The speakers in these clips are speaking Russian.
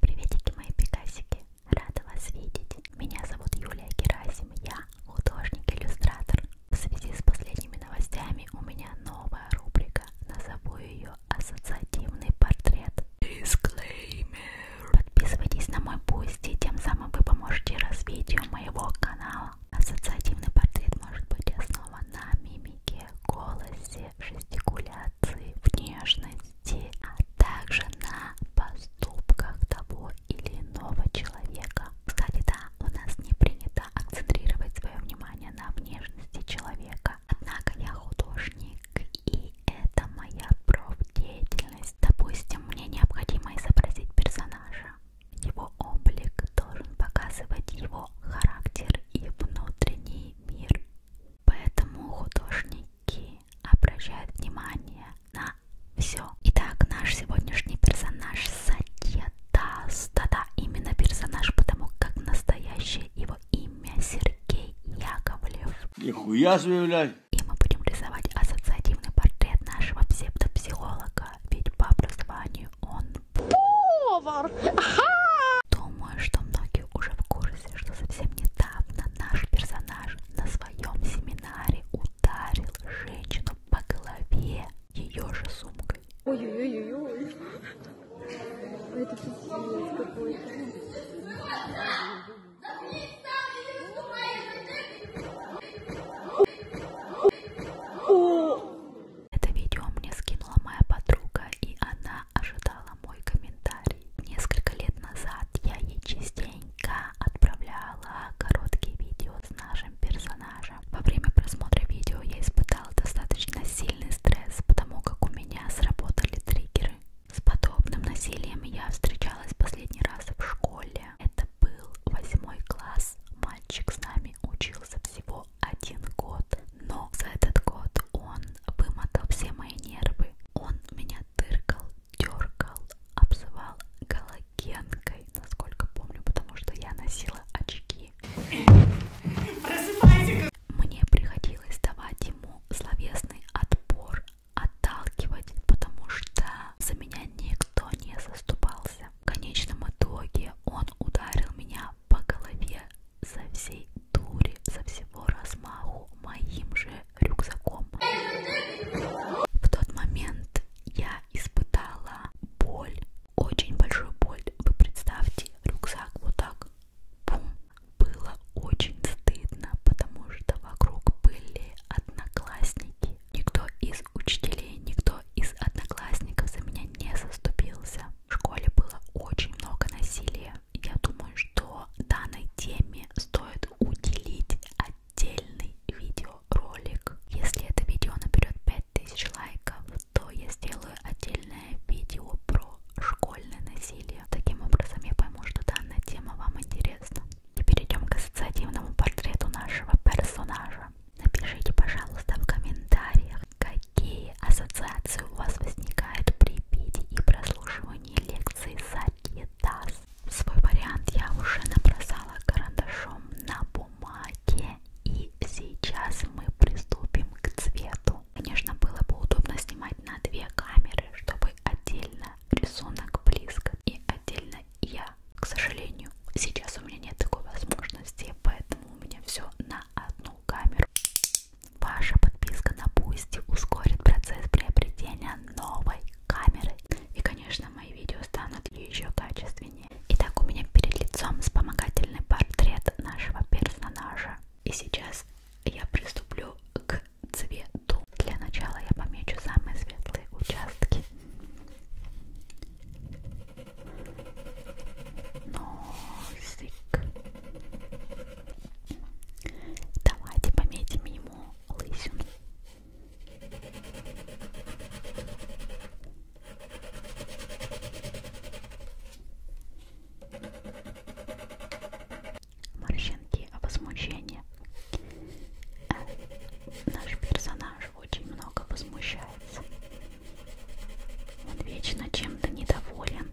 Приветики мои пикасики, рада вас видеть. Меня зовут Юлия Герасим, я художник-иллюстратор. В связи с последними новостями у меня новая рубрика, назову ее «Ассоциативный портрет». Disclaimer. Подписывайтесь на мой пусти, тем самым вы поможете развитию моего канала. Ассоциативный портрет может быть основан на мимике, голосе, жестикуляции, внешности власти, а также на поступках того или иного человека. Кстати, да, у нас не принято акцентрировать свое внимание на внешности человека. Однако я художник, и это моя профдеятельность. Допустим, мне необходимо изобразить персонажа. Его облик должен показывать его характер и внутренний мир. Поэтому художники обращают внимание на все. Итак, наш сегодняшний персонаж Сатьятас. Да-да, именно персонаж, потому как настоящее его имя Сергей Яковлев. Нихуя заявлять! И мы будем рисовать ассоциативный портрет нашего псевдопсихолога, ведь по образованию он повар. Думаю, что многие уже в курсе удивился, что совсем недавно наш персонаж на своем семинаре ударил женщину по голове ее же сумкой. Ой-ой-ой-ой. Это пиздец какой-то. Это видео мне скинула моя подруга, и она ожидала мой комментарий. Несколько лет назад я ей частенько отправляла короткие видео с нашим персонажем. Во время просмотра видео я испытала достаточно сильный стресс, потому как у меня сработали триггеры. С подобным насилием я встречалась последний раз в школе. Это был восьмой класс. Мальчик с нами учился всего один год но за этот год он вымотал все мои нервы. Он меня тыркал, дергал, обзывал галогенкой, насколько помню, потому что я носила очки. Мне приходилось давать ему словесный отпор, отталкивать, потому что за меня никто не заступался. В конечном итоге он ударил меня по голове со всей дури, со всего размаху моим же рюкзаком. В тот момент я испытала боль, очень большую боль. Вы представьте, рюкзак вот так, бум. Было очень стыдно, потому что вокруг были одноклассники. Никто из учителей, никто из одноклассников за меня не заступился. В школе было очень много насилия я думаю, что данной теме стоит уделить отдельный видеоролик. Если это видео наберет 5000 лайков, то я сделаю отдельное видео про школьное насилие. Таким образом, я пойму, что данная тема вам интересна. И перейдем к ассоциативному портрету нашего персонажа. Напишите, пожалуйста, в комментариях, какие ассоциации у вас возникают при обеде и прослушивании лекций Сакидас. Свой вариант я уже набросала карандашом на бумаге. И сейчас мы приступим к цвету. Конечно, было бы удобно снимать на две камеры, чтобы отдельно рисунок близко и отдельно я. К сожалению, сейчас у меня нет такой возможности, поэтому у меня все на одну камеру. Ваша подписка на Boosty ускорит процесс приобретения новой камеры. И, конечно, мои видео станут еще качественнее. Итак, у меня перед лицом вспомогательный портрет нашего персонажа. И сейчас я приступлю к цвету. Для начала я помечу самые светлые участки. Носик. Давайте пометим ему лысину. Морщинки возмущения. Э, наш персонаж очень много возмущается. Он вечно чем-то недоволен.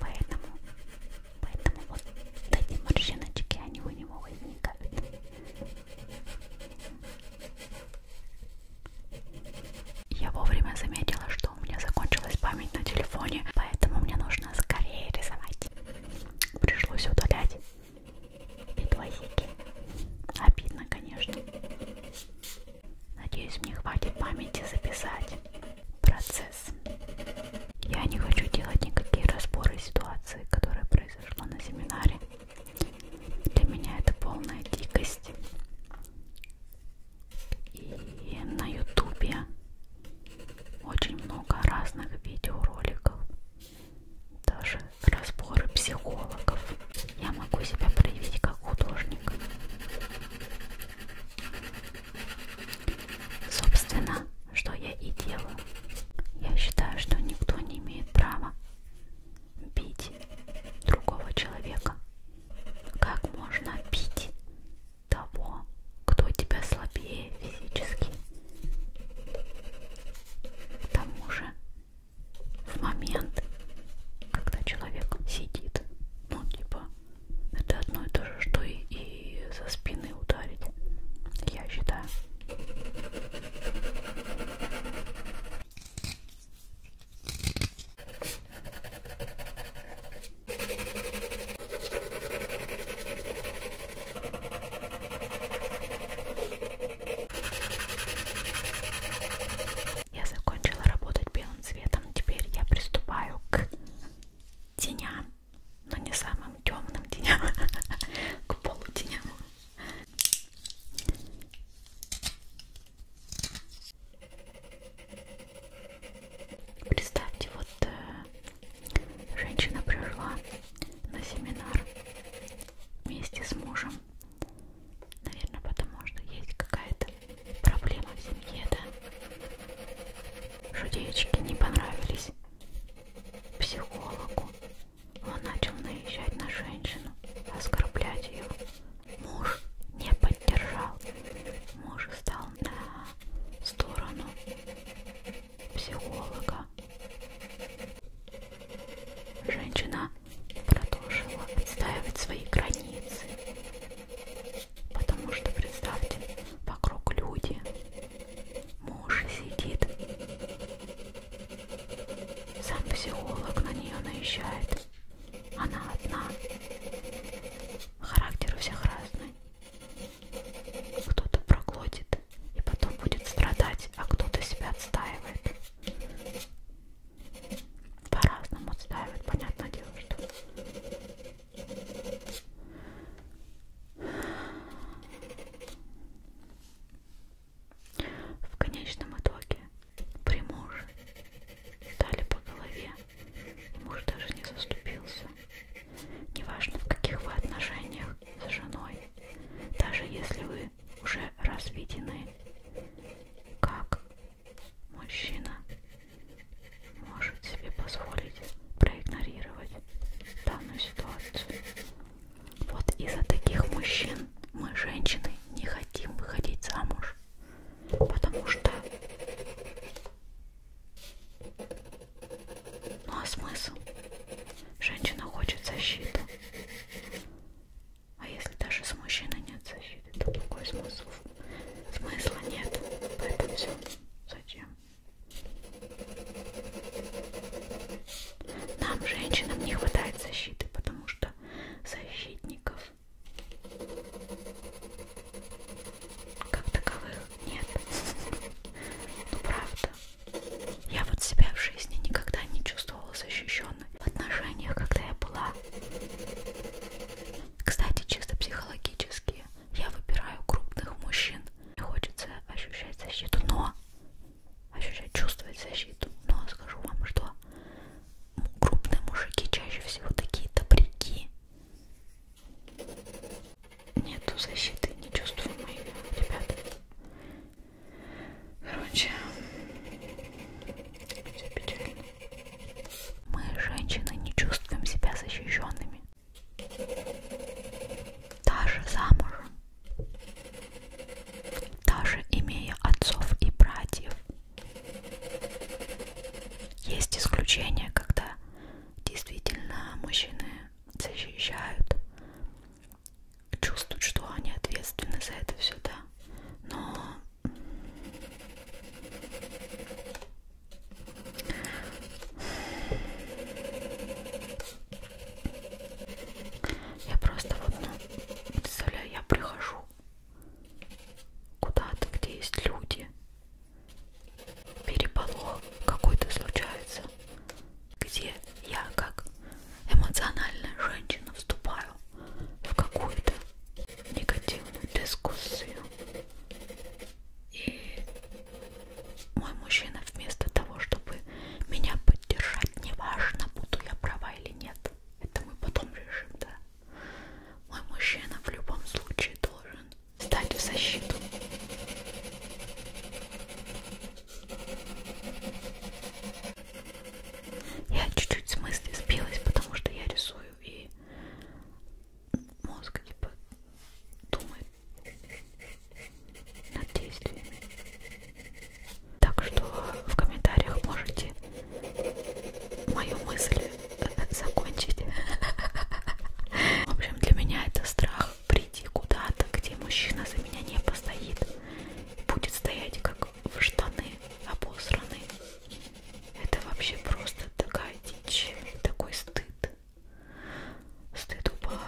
Поэтому, поэтому вот эти морщиночки, они у него возникают. Я вовремя заметила, что у меня закончилась память на телефоне, поэтому мне нужно скорее рисовать. Пришлось удалять и двоики. Обидно, конечно. Надеюсь, мне хватит памяти записать процесс. Я не хочу делать никакие разборы ситуации, которая произошла на семинаре. Для меня это полная дикость. И на ютубе очень много разных видеороликов, даже разборы психологов. Я могу себя проявить как художник. Собственно, что я и делаю. Я считаю, что никто не имеет права бить другого человека. Как можно бить того, кто тебя слабее физически? К тому же, в момент, когда человек сидит, ну типа это одно и то же, что и, и со спины ударить, я считаю. Я закончила работать белым цветом. Теперь я приступаю к теням, но не самым темным теням, к полутеням. Представьте, вот э, женщина пришла на семинар вместе с мужем. Наверное, потому что есть какая-то Проблема в семье, да? Шутеечки не понравились психологу. Он начал наезжать на женщину, оскорблять ее. Муж не поддержал. Муж стал на сторону психолога. Женщина продолжила отстаивать свои границы. Потому что, представьте, вокруг люди. Муж сидит. Сам психолог на нее наезжает. Она одна. Характер у всех разный. Кто-то проглотит и потом будет страдать, а кто-то себя отстаивает по-разному ставят, понятное дело, что в конечном итоге при муже стали по голове, муж даже не заступился. Неважно, в каких вы отношениях с женой, даже если вы уже разведены, как Мужчина может себе позволить проигнорировать данную ситуацию. Вот из-за таких мужчин мы, женщины, не хотим выходить замуж, потому что... Ну а смысл? Женщина хочет защиты. А если даже с мужчиной нет защиты, то какой смысл? смысла нет, поэтому все. Зачем? Нам, женщинам, не хватает защиты, потому что защитников как таковых нет. Ну правда. Я вот себя в жизни никогда не чувствовала защищенной. В отношениях, когда я была кстати, чисто психологически я выбираю крупных мужчин. Мне хочется ощущать защиту, но ощущать, чувствовать защиту. Но скажу вам, что крупные мужики чаще всего такие добряки. Нету защиты, не чувствую моих ребят. Короче, все печально. Мы, женщины, не чувствуем себя защищенными. Даже замужем. Даже имея отцов и братьев. Есть исключения, когда действительно мужчины защищают, чувствуют, что они ответственны за это все, да но я просто вот, ну, представляю, я прихожу куда-то, где есть люди, переполох какой-то случается, где я как эмоциональная женщина вступаю в какую-то негативную дискуссию. И мой мужчина вместо того, чтобы меня поддержать, неважно, буду я права или нет, это мы потом решим, да. Мой мужчина в любом случае должен стать в защиту. Я чуть-чуть с мысли сбилась, потому что я рисую и и мозг типа думает над действиями. Так что в комментариях можете мою мысль закончить. В общем, для меня это страх прийти куда-то, где мужчина за меня не постоит. Будет стоять как в штаны обосраны. Это вообще просто такая дичь, такой стыд. Стыд упал.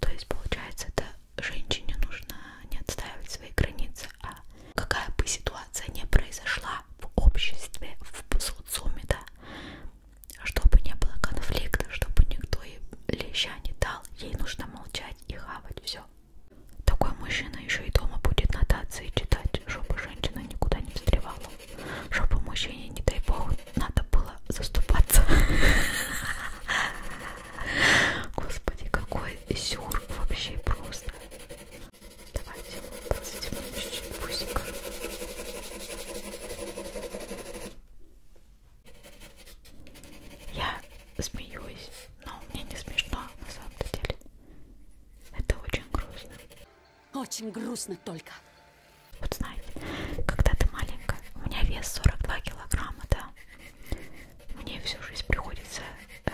То есть, получается, это женщине нужно не отстаивать свои границы, а какая бы ситуация не произошла в обществе, в социуме, да, чтобы не было конфликта, чтобы никто ей леща не дал, ей нужно молчать и хавать все. Такой мужчина еще и дома будет нотации читать, чтобы женщина никуда не встревала. Чтобы мужчине, не дай бог, надо было заступаться. Господи, какой сюр вообще просто. Давайте посадим чуть-чуть пусика. Я смеюсь, но мне не смешно на самом деле. Это очень грустно. Очень грустно только. Вот знаете, когда ты маленькая, у меня вес 42 килограмма, да. Мне всю жизнь приходится э,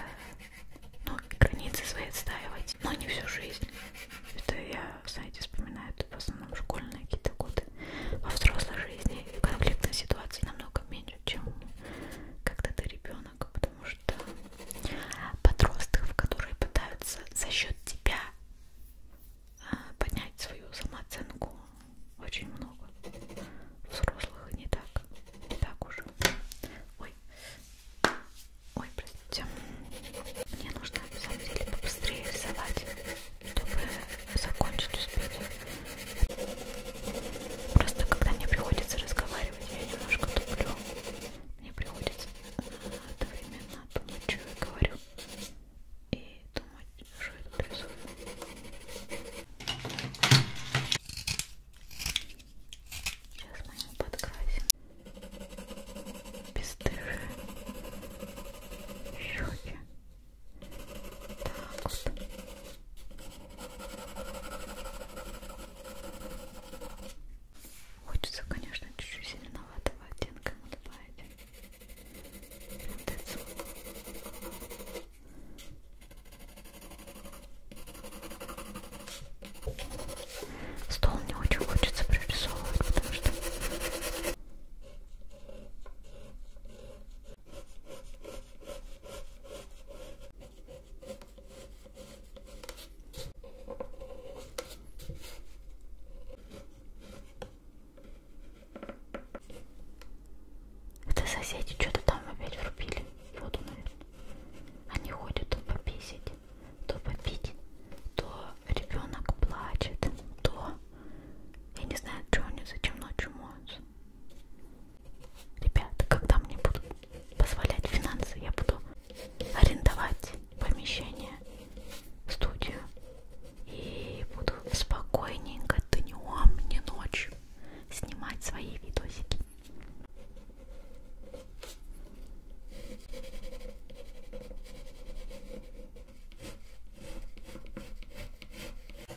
ну, границы свои отстаивать, но не всю жизнь. Это я, знаете, вспоминаю это в основном школьные какие-то годы. Во взрослой жизни конфликтной ситуации намного меньше чем когда ты ребенок, потому что подростков, которые пытаются за счет тебя а, поднять свою самооценку, очень много. Взрослых не так, не так уже. Ой, ой, простите. Мне нужно на самом деле побыстрее рисовать, чтобы закончить успеть. Просто когда мне приходится разговаривать, я немножко туплю. Мне приходится одновременно думать, что я говорю, и думать, что я тут рисую. Сейчас мы его подкрасим. Бесстыжие щеки. Так вот. Хочется, конечно, чуть-чуть зеленоватого оттенка ему добавить. Вот это. Стол не очень хочется прорисовывать, потому что это соседи что-то там опять врубили. Воду, наверное. Они ходят то пописить, то попить, то ребенок плачет, то... Я не знаю, что они зачем ночью моются. Ребята, когда мне будут позволять финансы, я буду арендовать помещение, студию и буду спокойненько днем, не ночью снимать свои видосики.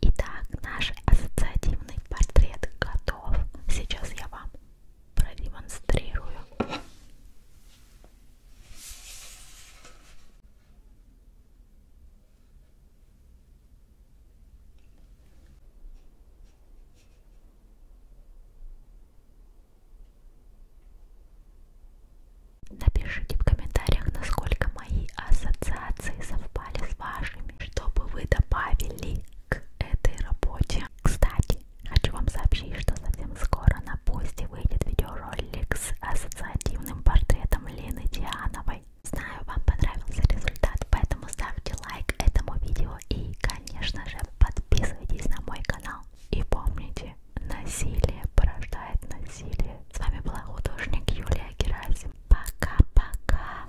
Итак, наш ассоциативный портрет готов. Сейчас я вам продемонстрирую. Напишите в комментариях, насколько мои ассоциации совпали с вашими, чтобы вы добавили к этой работе. Кстати, Хочу вам сообщить, что совсем скоро на посте выйдет видеоролик с ассоциативным портретом Лины Диановой. Знаю, вам понравился результат, поэтому ставьте лайк этому видео и, конечно же, подписывайтесь на мой канал. И помните, насилие порождает насилие. С вами была художник Юлия Герасим. Пока-пока!